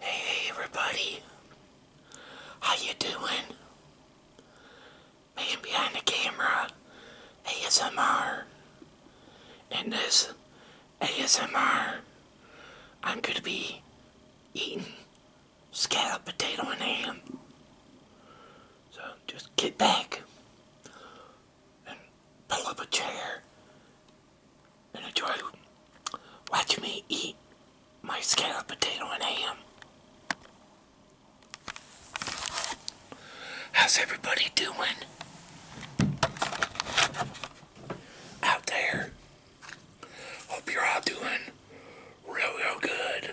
Hey everybody, how you doing? Man behind the camera, ASMR. In this ASMR, I'm gonna be eating scallop potato and ham. So just get back and pull up a chair and enjoy watching me eat my scalloped potato and ham. How's everybody doing out there? Hope you're all doing real, real good.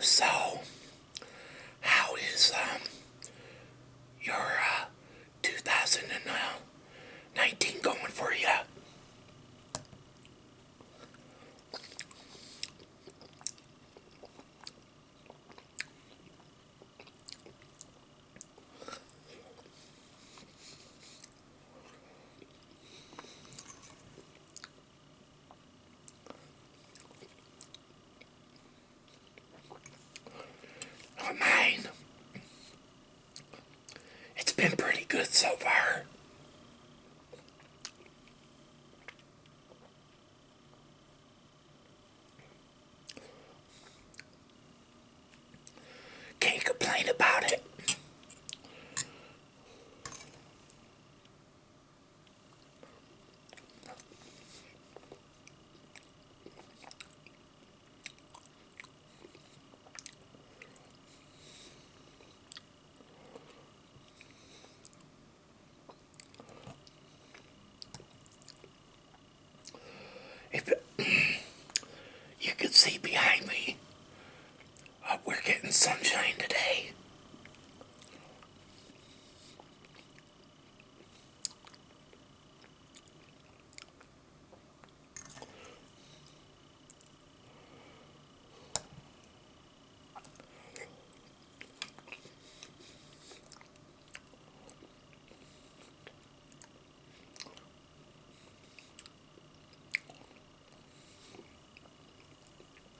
So, how is um, your uh, 2019 going for you? Well, it's been pretty good so far. Can't complain about it. If you can see behind me, uh, we're getting sunshine today.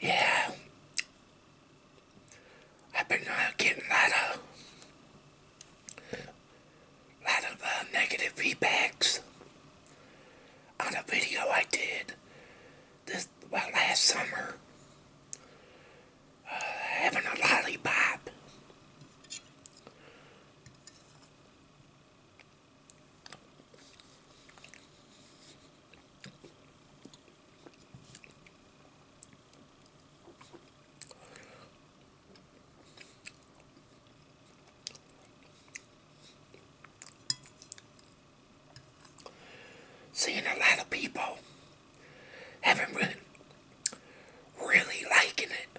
yeah, I've been uh, getting a lot of, lot of uh, negative feedbacks on a video I did this well, last summer uh, having a lollipop. Seeing a lot of people having really, really liking it.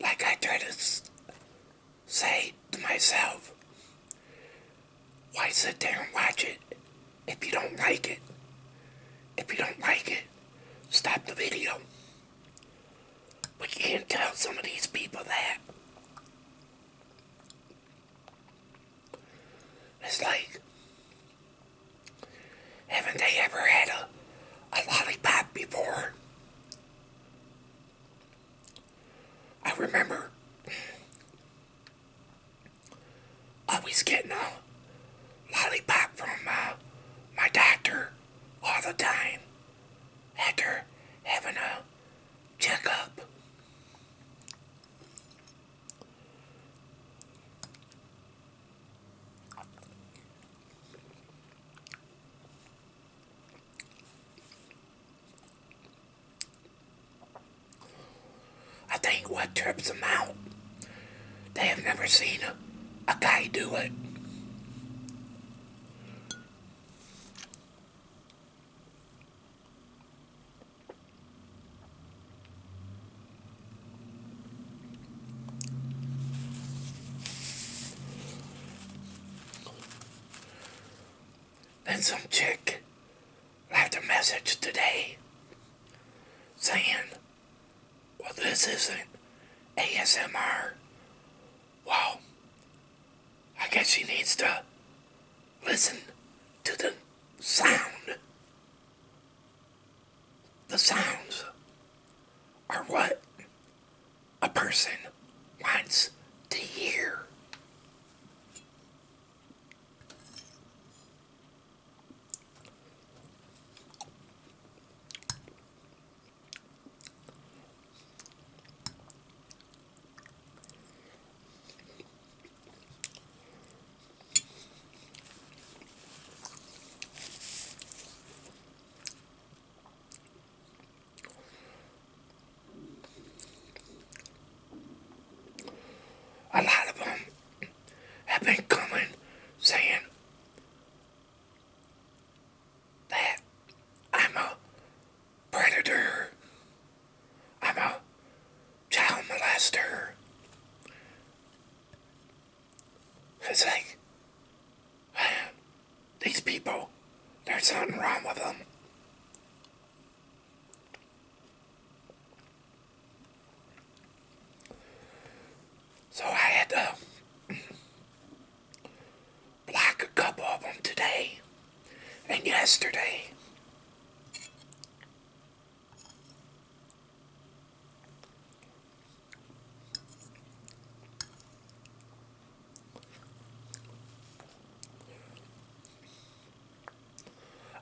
like I try to say to myself, why sit there and watch it if you don't like it? If you don't like it, stop the video. But you can't tell some of these people that. It's like, haven't they ever had a, lollipop before? I remember I was getting a lollipop from uh, my doctor all the time after having a checkup. I think what trips them out, they have never seen a, guy do it. Then some chick left a message today saying, Well, this isn't ASMR. Well, I guess she needs to listen to the sound. The sounds are what a person wants to hear. A lot of them have been coming saying that I'm a predator, I'm a child molester. It's like, These people, there's something wrong with them. So I had to block a couple of them today and yesterday.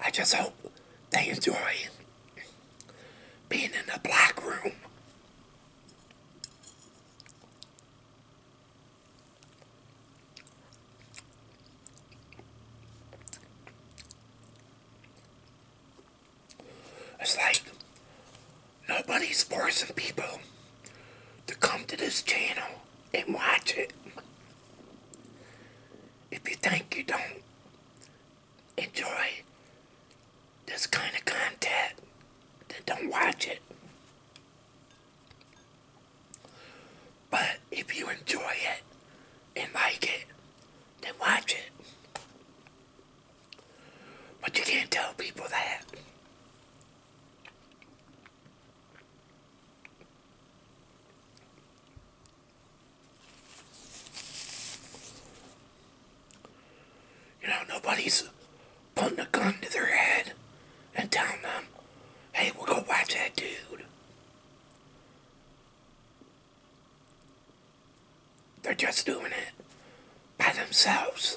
I just hope they enjoy being in the black room. It's like Nobody's forcing people to come to this channel and watch it. If you think you don't enjoy this kind of content, then don't watch it. But if you enjoy it and like it, then watch it. But you can't tell people that. You know, nobody's putting a gun to their head and telling them, hey, we'll go watch that dude. They're just doing it by themselves.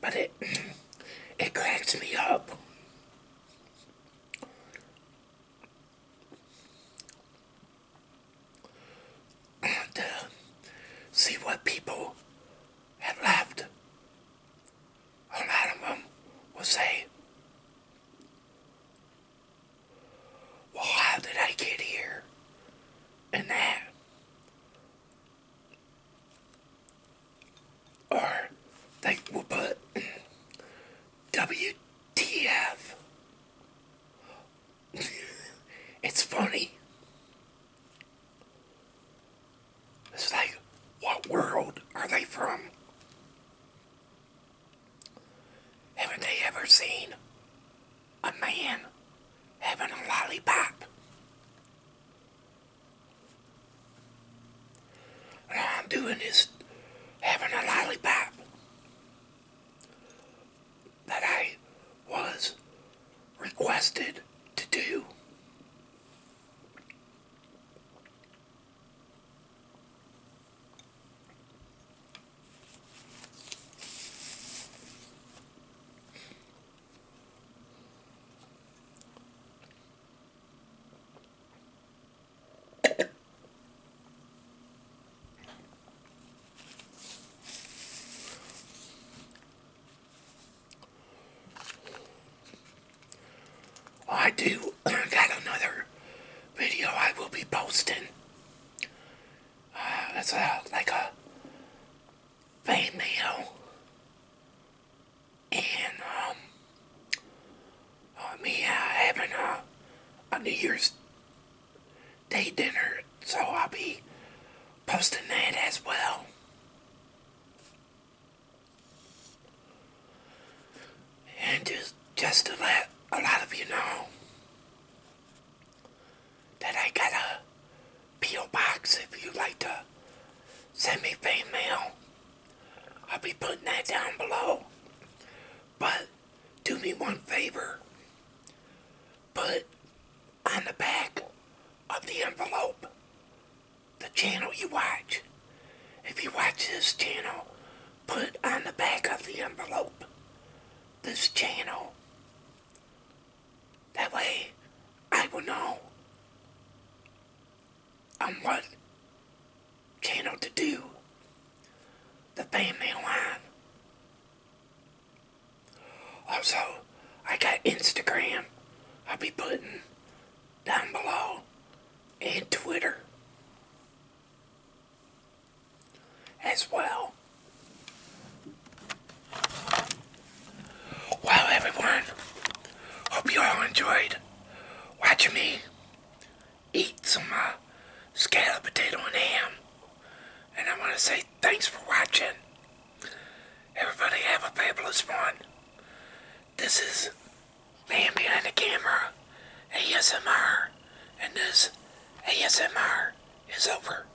But it it cracks me up. To see what people have left. A lot of them will say, Well, how did I get here? And there?" Or they will put WTF. it's funny. It's like, what world are they from? Haven't they ever seen a man having a lollipop. I'm doing is having a lollipop that I was requested to do. I do got another video I will be posting. Uh, it's a, like female and um, uh, me having a, a New Year's Day dinner, so I'll be posting that as well. And just, just to let a lot of you know, that I got a P.O. box if you'd like to send me fan mail. I'll be putting that down below. But do me one favor. Put on the back of the envelope the channel you watch. If you watch this channel, put on the back of the envelope this channel. That way, I will know on what channel to do the family line. Also, I got Instagram. I'll be putting down below and Twitter as well. Well, everyone, hope you all enjoyed watching me eat some uh, scallop potato and ham. And I want to say thanks for watching. Everybody have a fabulous one. This is Man Behind the Camera, ASMR, and this ASMR is over.